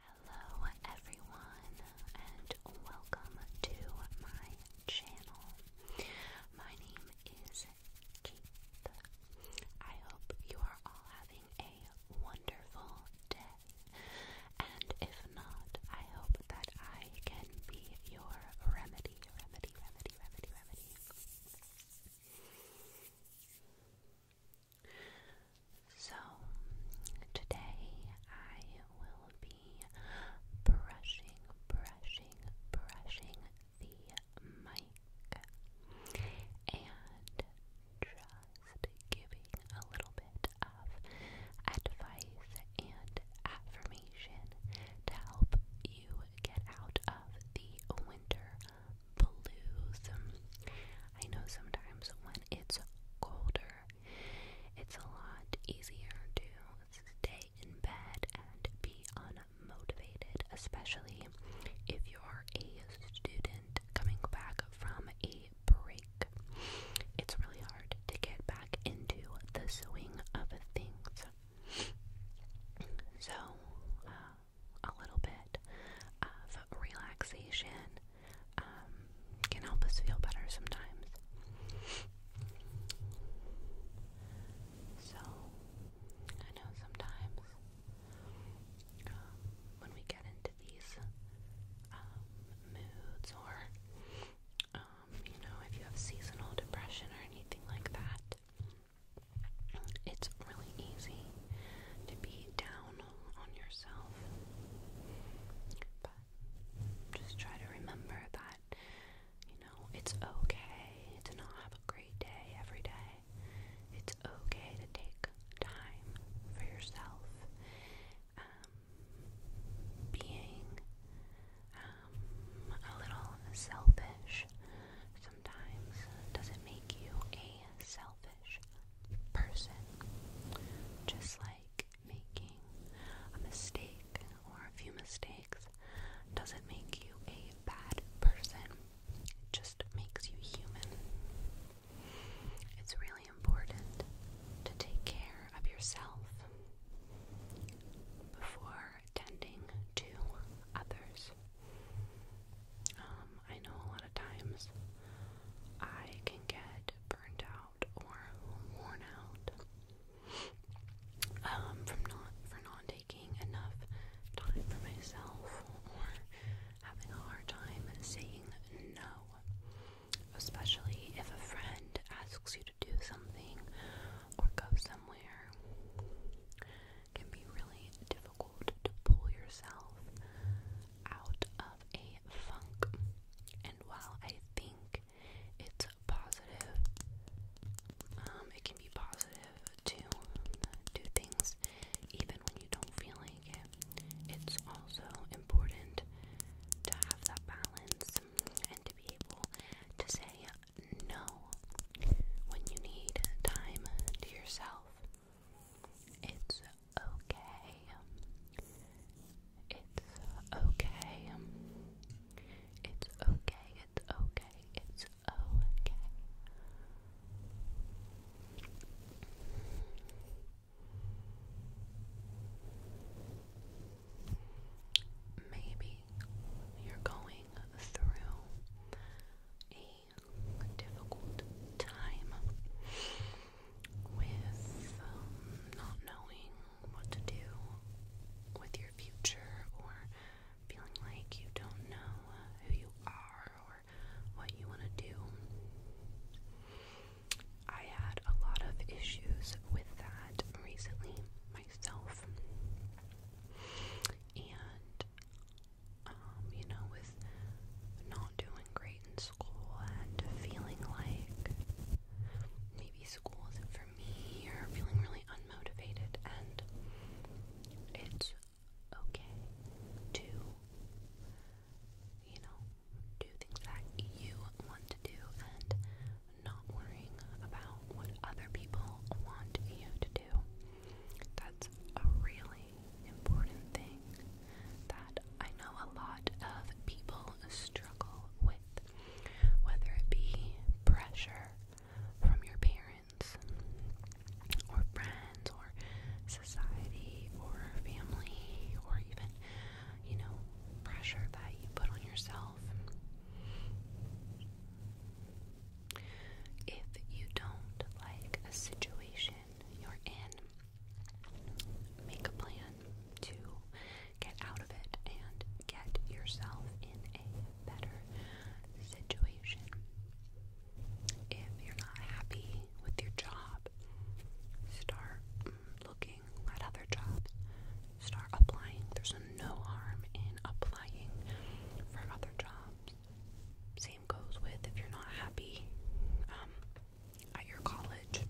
Hello everyone and welcome to my channel. My name is Keith. I hope you are all having a wonderful day. And if not, I hope that I can be your remedy, remedy, remedy, remedy, remedy. So, today I will be brushing, brushing, brushing the mic and just giving a little bit of advice and affirmation to help you get out of the winter blues. I know sometimes when it's colder, it's a lot easier to stay in bed and be unmotivated, especially if you're a student coming back from a break. It's really hard to get back into the swing of things. So, uh, a little bit of relaxation um, can help us feel better sometimes. So, I know sometimes um, when we get into these um, moods or you know, if you have seasonal depression or anything like that, it's really easy to be down on yourself. But just try to remember that, you know, it's okay to not have a great day every day. It's okay to take time for yourself. Um, being um, a little selfish sometimes doesn't make you a selfish person. Just like making a mistake or a few mistakes doesn't make you a bad person, it just makes you human. It's really important to take care of yourself before tending to others. Um, I know a lot of times I can get burned out or worn out um, from not for not taking enough time for myself or having a hard time saying no. Especially if a friend asks you to do something or go somewhere can be really difficult to pull yourself out of a funk. And while I think it's positive, um, it can be positive to do things even when you don't feel like it. It's also important to have that balance and to be able to say no when you need time to yourself. It's okay. It's okay. It's okay. It's okay. It's okay. Maybe you're going through a difficult time with um, not knowing what to do with your future or feeling like you don't know uh, who you are or what you want to do. I had a lot of issues with that recently myself, and um, you know, with not doing great in school and feeling like maybe school isn't for me or feeling really unmotivated, and it's okay to, you know, do things that you want to do and not worrying about what other people want you to do. That's a really important thing that I know a lot of people struggle with, whether it be pressure from your parents or friends or society or family or even, you know, pressure that you put on yourself. If you don't like a situation you're in, make a plan to get out of it and get yourself in a better situation. If you're not happy with your job, start looking at other jobs. Start applying. There's no harm in applying for other jobs. Same goes with if you're not happy um, at your college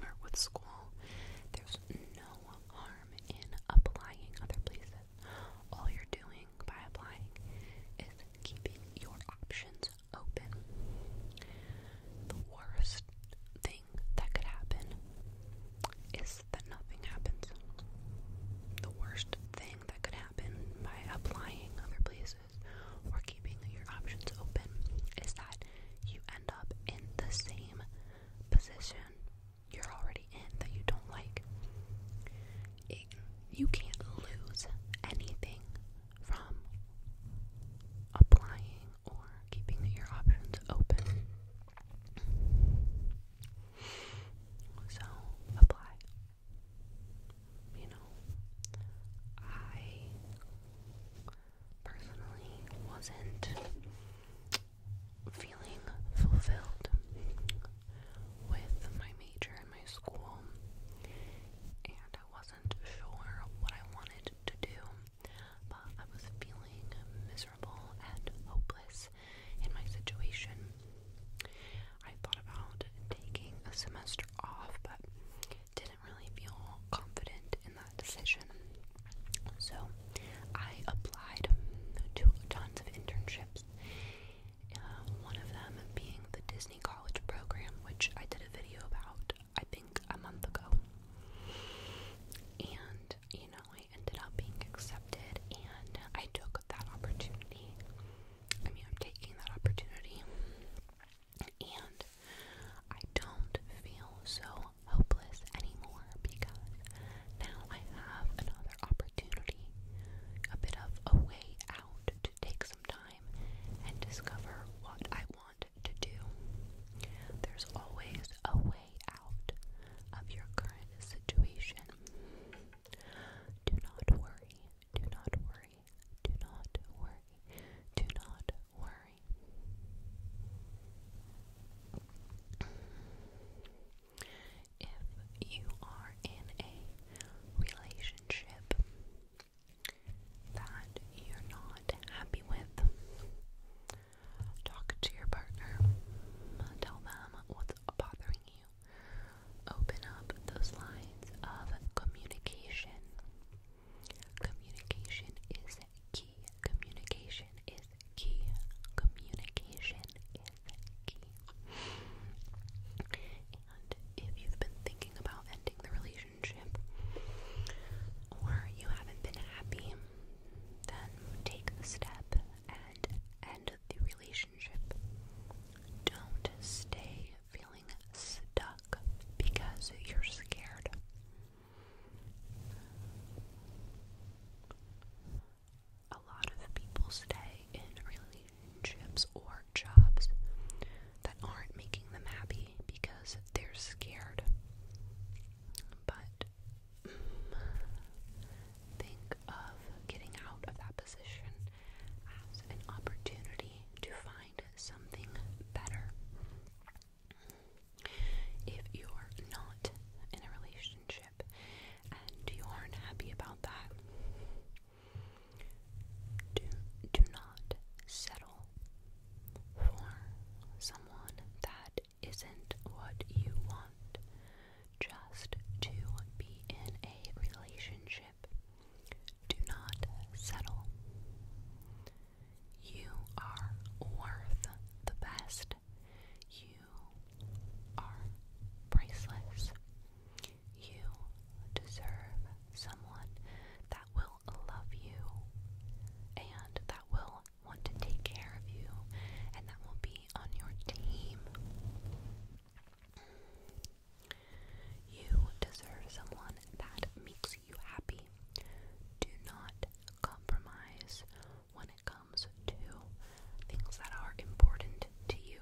or with school, there's no harm in applying other places. All you're doing by applying is keeping your options open. The worst thing that could happen is guess that nothing happens. The worst thing that could happen by applying other places or keeping your options open is that you end up in the same position you're already in that you don't like. you can't lose anything from applying or keeping your options open. So apply. You know, I personally wasn't feeling fulfilled with my major in my school, and I wasn't sure what I wanted to do, but I was feeling miserable and hopeless in my situation. I thought about taking a semester off, but didn't really feel confident in that decision. So I applied to tons of internships, uh, one of them being the Disney College program, which I did a video about, I think, a month ago. And, you know, ended up being accepted, and I took that opportunity. I mean, I'm taking that opportunity, and I don't feel so hopeless anymore because now I have another opportunity, a bit of a way out to take some time and discover what I want to do. There's always a way out of your current situation. Do not worry. Do not worry. Do not worry. Do not worry. If you are in a relationship that you're not happy with, talk to your partner. Tell them what's bothering you. Open up those lines of communication. Communication is key. Communication is key. Communication is key. And if you've been thinking about ending the relationship or you haven't been happy, then take the step and end the relationship. Don't stay feeling stuck because you're scared. A lot of people stay in relationships or jobs that aren't making them happy because they're scared. But Mm, think of getting out of that position as an opportunity to find something better. If you're not in a relationship and you aren't happy about that, do, do not settle for someone that isn't what you want. Just to be in a relationship. Do not settle. You are worth the best. You are priceless. You deserve someone that will love you and that will want to take care of you and that will be on your team. You deserve someone that makes you happy. Do not compromise when it comes to things that are important to you.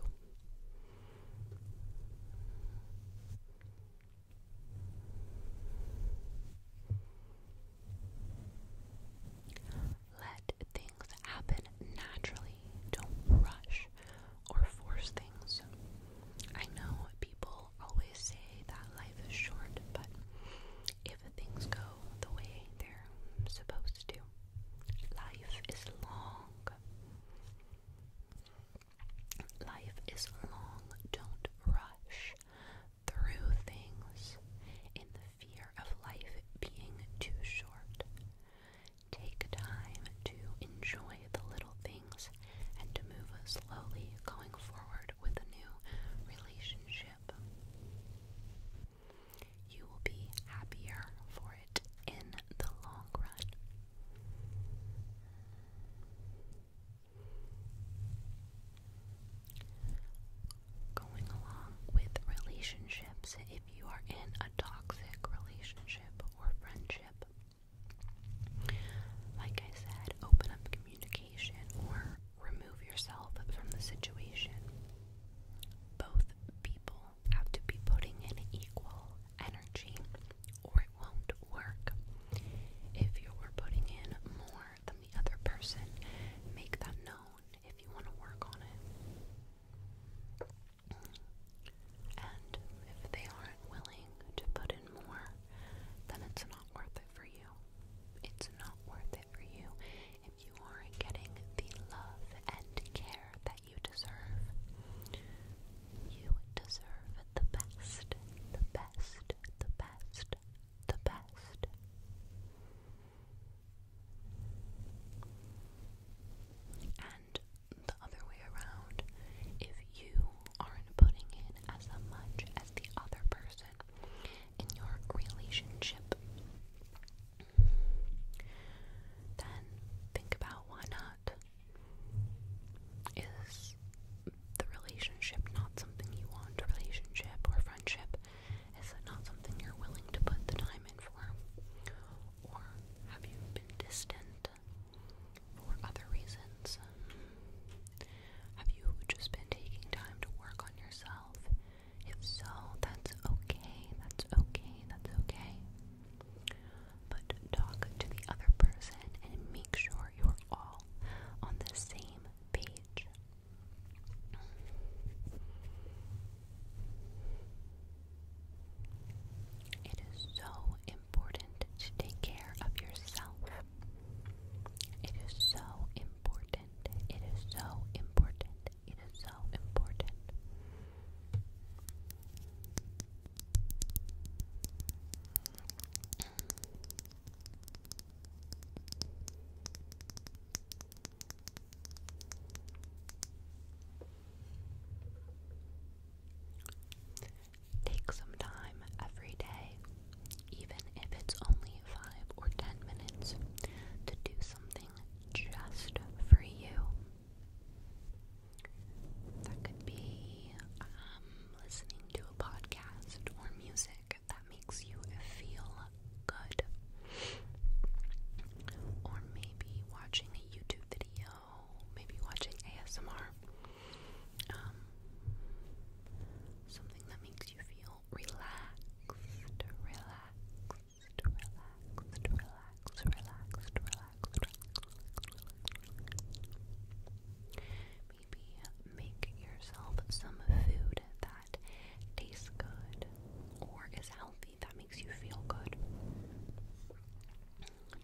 Let things happen naturally. Don't rush or force things. I know people always say that life is short, but if things go the way they're supposed to, life is long. Life is long. Don't rush through things. In the fear of life being too short. Take time to enjoy the little things and to move slowly going forward with a new relationship. You will be happier for it in the long run. Going along with relationships, if you are in a toxic relationship or friendship, like I said, open up communication or remove yourself from the situation. Both people have to be putting in equal energy or it won't work. If you're putting in more than the other person, make that if you want to work on it. And if they aren't willing to put in more, then it's not worth it for you. It's not worth it for you if you aren't getting the love and care that you deserve. You deserve the best, the best, the best the best. And the other way around, if you aren't putting in as much as the other person in your relationship, then think about why not. Is the relationship not something you want, relationship or friendship? Is that not something you're willing to put the time in for? Or have you been distant for other reasons? Have you just been taking time to work on yourself? If so, that's okay, that's okay, that's okay. But talk to the other person and make sure you're all on the same page. It is so important to take care of yourself. It is so important. It is so important. It is so important. Take some time every day, even if it's only five or ten minutes, to do something just for you. That could be um, listening to a podcast or music that makes you feel good. Or maybe watching a YouTube video, maybe watching ASMR. Um, something that makes you feel relaxed, relaxed, relaxed, relaxed, relaxed, relaxed, relaxed maybe make yourself some food that tastes good or is healthy that makes you feel good.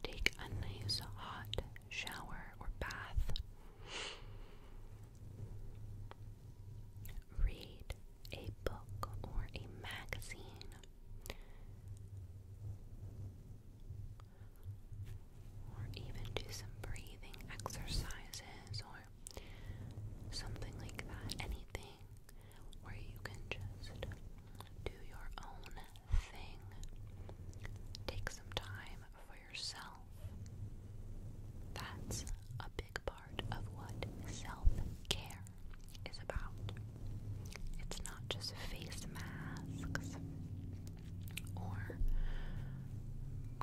Take a nice hot shower or bath. Read a book or a magazine or even do some breathing exercises or something like that. Anything where you can just do your own thing. Take some time for yourself. That's a big part of what self care is about. It's not just face masks or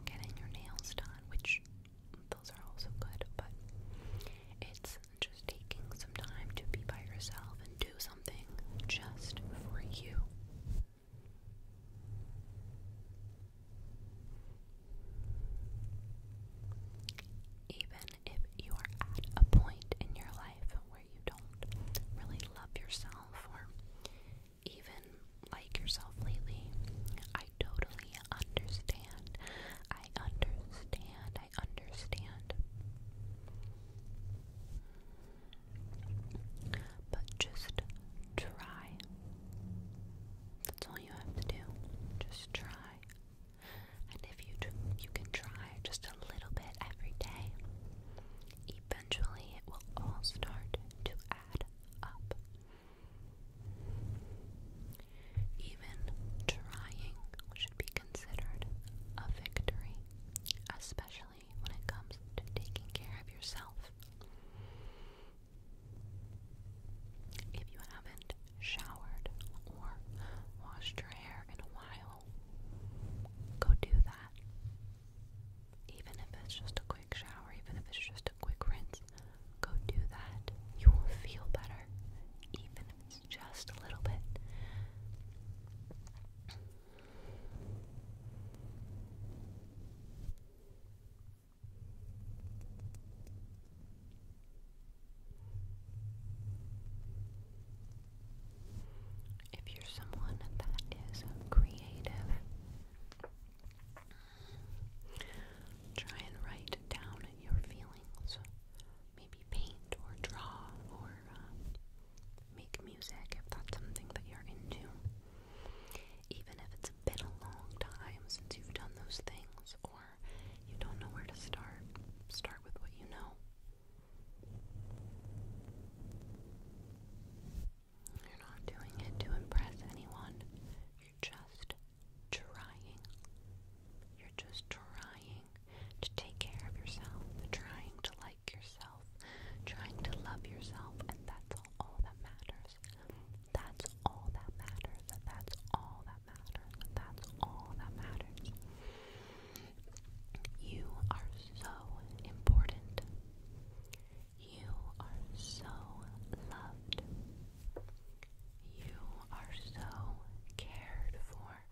getting your nails done, which those are also good, but it's just taking some time to be by yourself and do something just for you. Even if you are at a point in your life where you don't really love yourself or even like yourself lately. I totally understand. I understand. I understand. But just try. That's all you have to do. Just try. And if you you can try just a little bit every day, eventually it will all start to even trying should be considered a victory, especially when it comes to taking care of yourself. If you haven't showered or washed your hair in a while, go do that. Even if it's just a quick shower, even if it's just a quick rinse, go do that. You will feel better, even if it's just a little bit if you're someone that is creative, try and write down your feelings. Maybe paint or draw or uh, make music if that's something that you're into. Even if it's been a long time since you've done those things or you don't know where to start, start with what you know. You're not doing it to impress anyone. You're just trying. You're just trying to take care of yourself, trying to like yourself, trying to love yourself, and that's all that matters. That's all that matters. That's all that matters. That's all that matters. You are so important you are so loved. You are so cared for.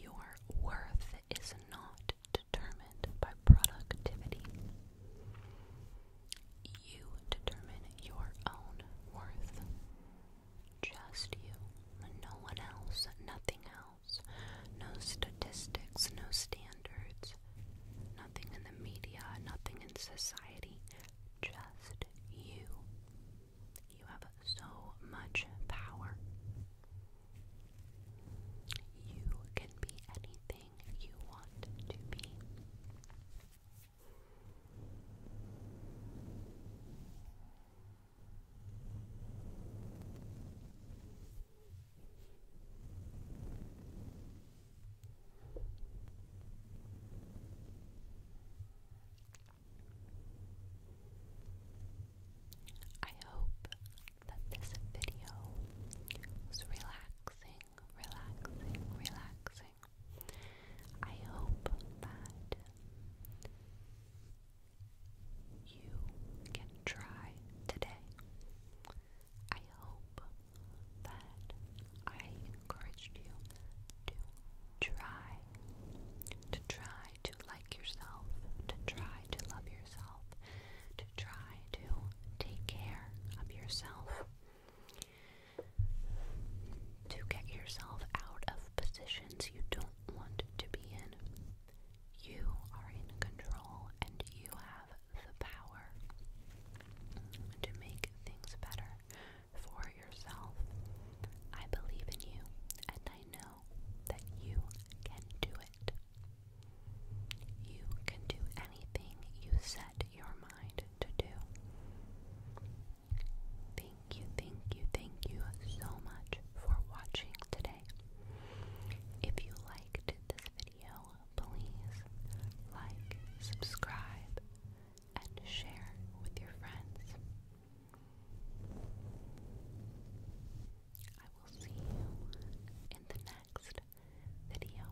Your worth is not determined by productivity. You determine your own worth. Just you, no one else, nothing else. No statistics, no standards, nothing in the media, nothing in society. Just you. You have so much power. You can be anything you want to be. I hope that this video was relaxing, relaxing, relaxing. I hope that you can try today. I hope that I encouraged you to try, to try to like yourself, to try to love yourself, to try to take care of yourself to get yourself out of positions you don't want to be in. You are in control and you have the power to make things better for yourself. I believe in you and I know that you can do it. You can do anything you set your mind to do. Thank you, thank you, thank you so much for watching today. If you liked this video, please like, subscribe, and share with your friends. I will see you in the next video.